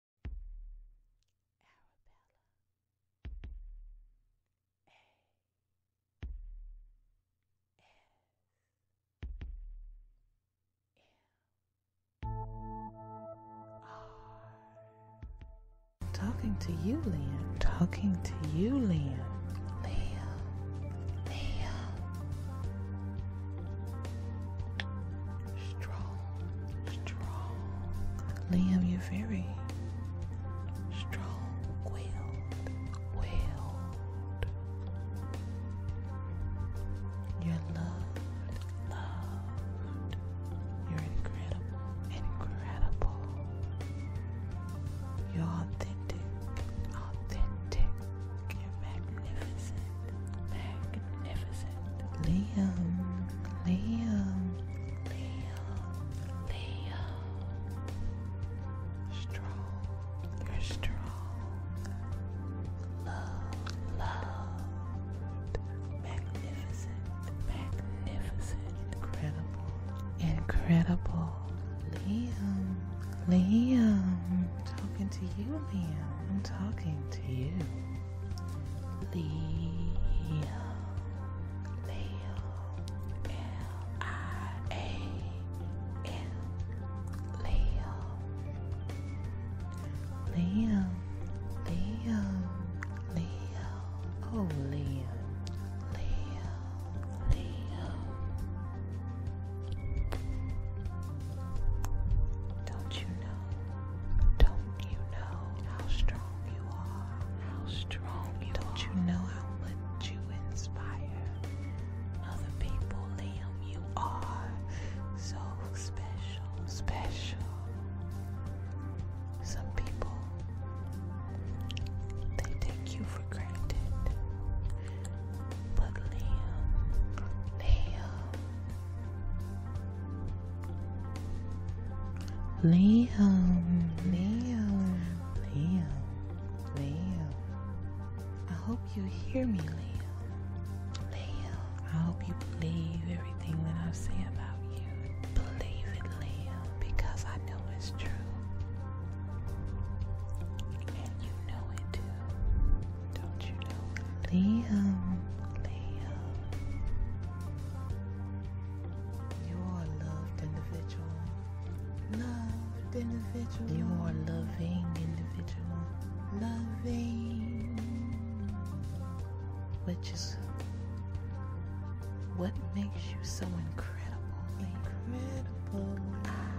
Arabella. Talking to you, Liam. Talking to you, Liam. Liam. Liam strong, strong. Liam, you're very strong willed, willed. You're loved, loved. You're incredible, incredible. You're authentic, authentic. You're magnificent, magnificent magnificent. Liam, Liam, Liam, Liam. Strong, you're strong. Love, loved, magnificent, magnificent, incredible, incredible. Liam, Liam, talking to you, Liam. I'm talking to you. Leo, Leo, L I A L, Leo, Leo, Leo, Leo, oh Leo, Leo, Leo. Don't you know? Don't you know how strong you are? How strong you are? Don't you know how much you inspire other people, Liam? You are so special, special. Some people they take you for granted. But Liam, Liam, Liam, Liam, Liam, Liam. I hope you hear me, Liam. Liam, I hope you believe everything that I say about you. Believe it, Liam, because I know it's true. And you know it too. Don't you know? Liam, Liam. You're loved individual. Loved individual. You're loving individual. Loving. Which is what makes you so incredible? Incredible. Ah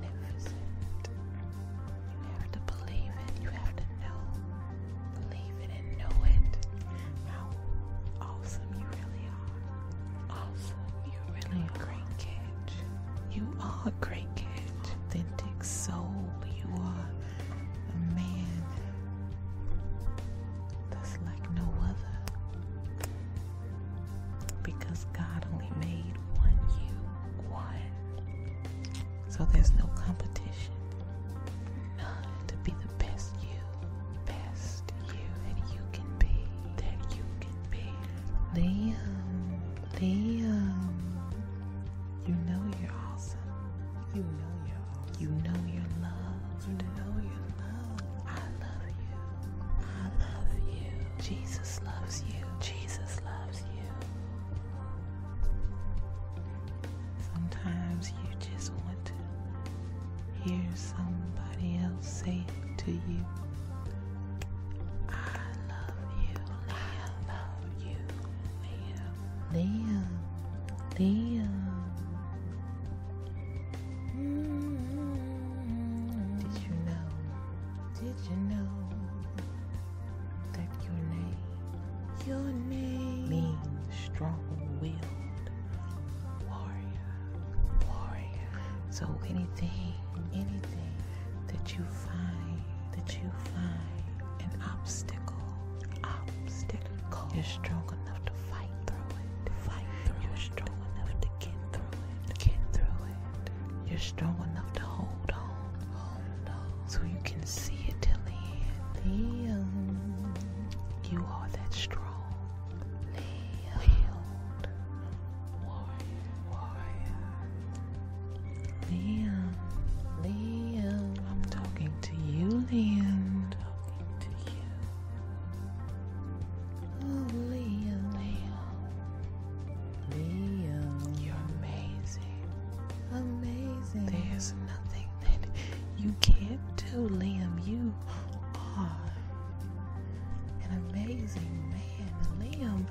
magnificent. You have to believe it, you have to know. Believe it and know it. How awesome you really are. Awesome. You really are. Great kid. You are a great kid. Authentic soul. You are a man that's like no other because God only made one you, one. So there's no competition. None to be the best you, best you that you can be, that you can be. Liam, Liam, you know you're awesome. You know you're You know you're loved. I love you. I love you. Jesus loves you. Jesus loves you. Sometimes you just want to hear somebody else say to you, I love you. I love you. Liam. Liam. Liam. Did you know did you know that your name, your name means strong-willed warrior, warrior? So anything, anything that you find, that you find an obstacle, obstacle, you're strong enough to fight through it, fight through You're strong enough to get through it, get through it you're strong enough to hold on. Hold on. So you can see it till the end. Leo. You are that strong. Leo. Warrior. Warrior. Liam. Liam. I'm talking to you, Liam. Leo, Leo, Leo, you're amazing, amazing. There's nothing that you can't do, Liam. You are an amazing man, Liam.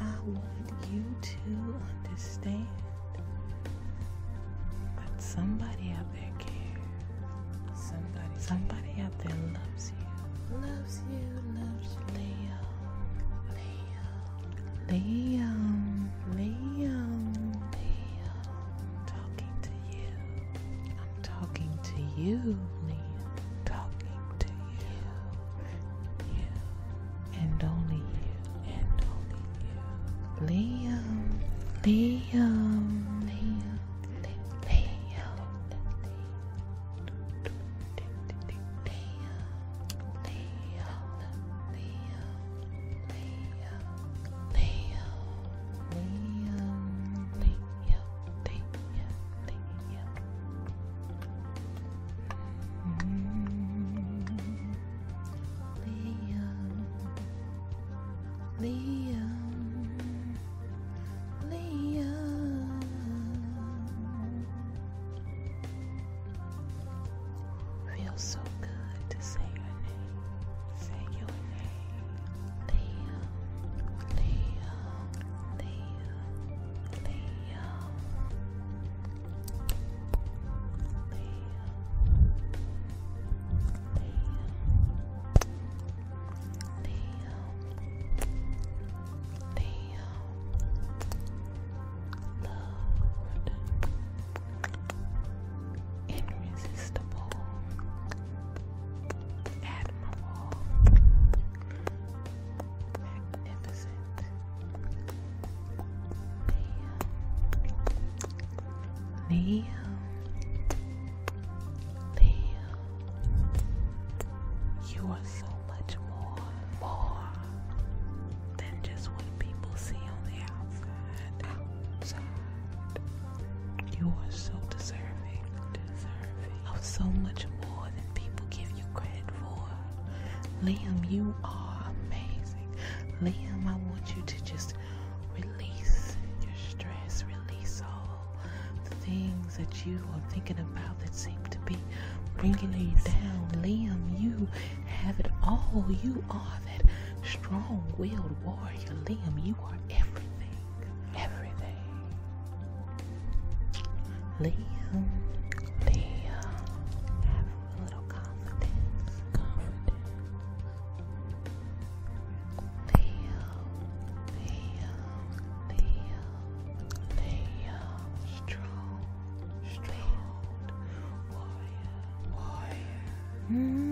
I want you to understand that somebody out there cares. Somebody, somebody out there loves loves you, loves you, loves you, Leo, Leo, Leo, Leo, Leo. I'm talking to you. I'm talking to you, Leo. Talking to you, you, and only you, and only you, Leo, Leo. Leo. Leo, Leo, Liam, Feels so good to say your name. Say your name. Leo, Leo. Leo. Leo. Leo. Damn. Damn. Loved. Irresistible. Admirable. Magnificent. Liam, Liam, live. You are so much more, more than just what people see on the outside. Outside. You are so deserving, deserving of so much more than people give you credit for. Liam, you are amazing. Liam, I want you to just release your stress, release all the things that you are thinking about that seem to be bringing you down. Liam, you have it all. You are that strong willed warrior. Liam, you are everything. Everything. Liam, Liam, have a little confidence. Confidence. Leo, Leo, Leo, Leo, strong, strong, warrior, warrior.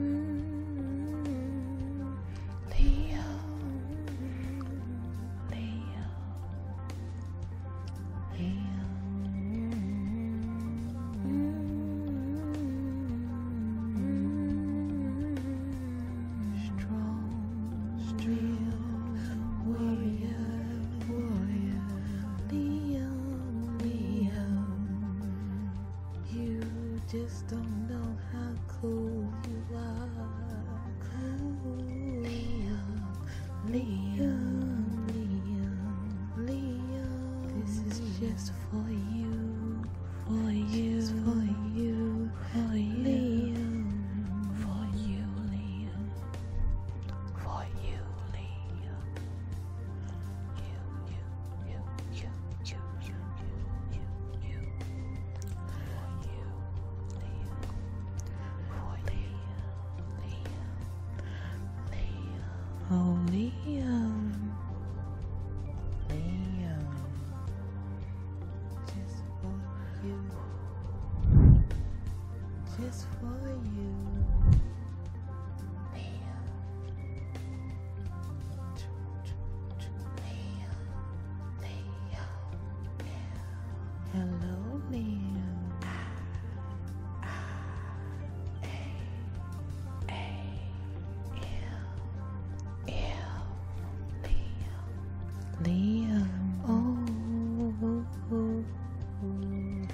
Leo, Leo, Leo. Strong, strong, warrior, warrior, Leo, Leo, you just don't know how cool you are. Cool. Liam, Liam, Liam, This is just for you, for you, for you, for you. For you, For you, Liam. You, you. Oh, Liam. Liam. Just for you. Just for you. Hello, Meow. Ah, ah, a, a, L, L, Leo. Leo. Oh, oh,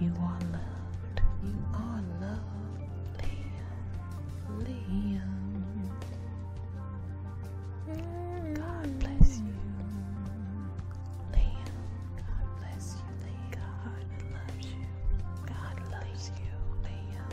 You are loved. You are loved, Liam. Liam. God bless you, Liam. God bless you, Liam. God loves you. God loves you, Liam.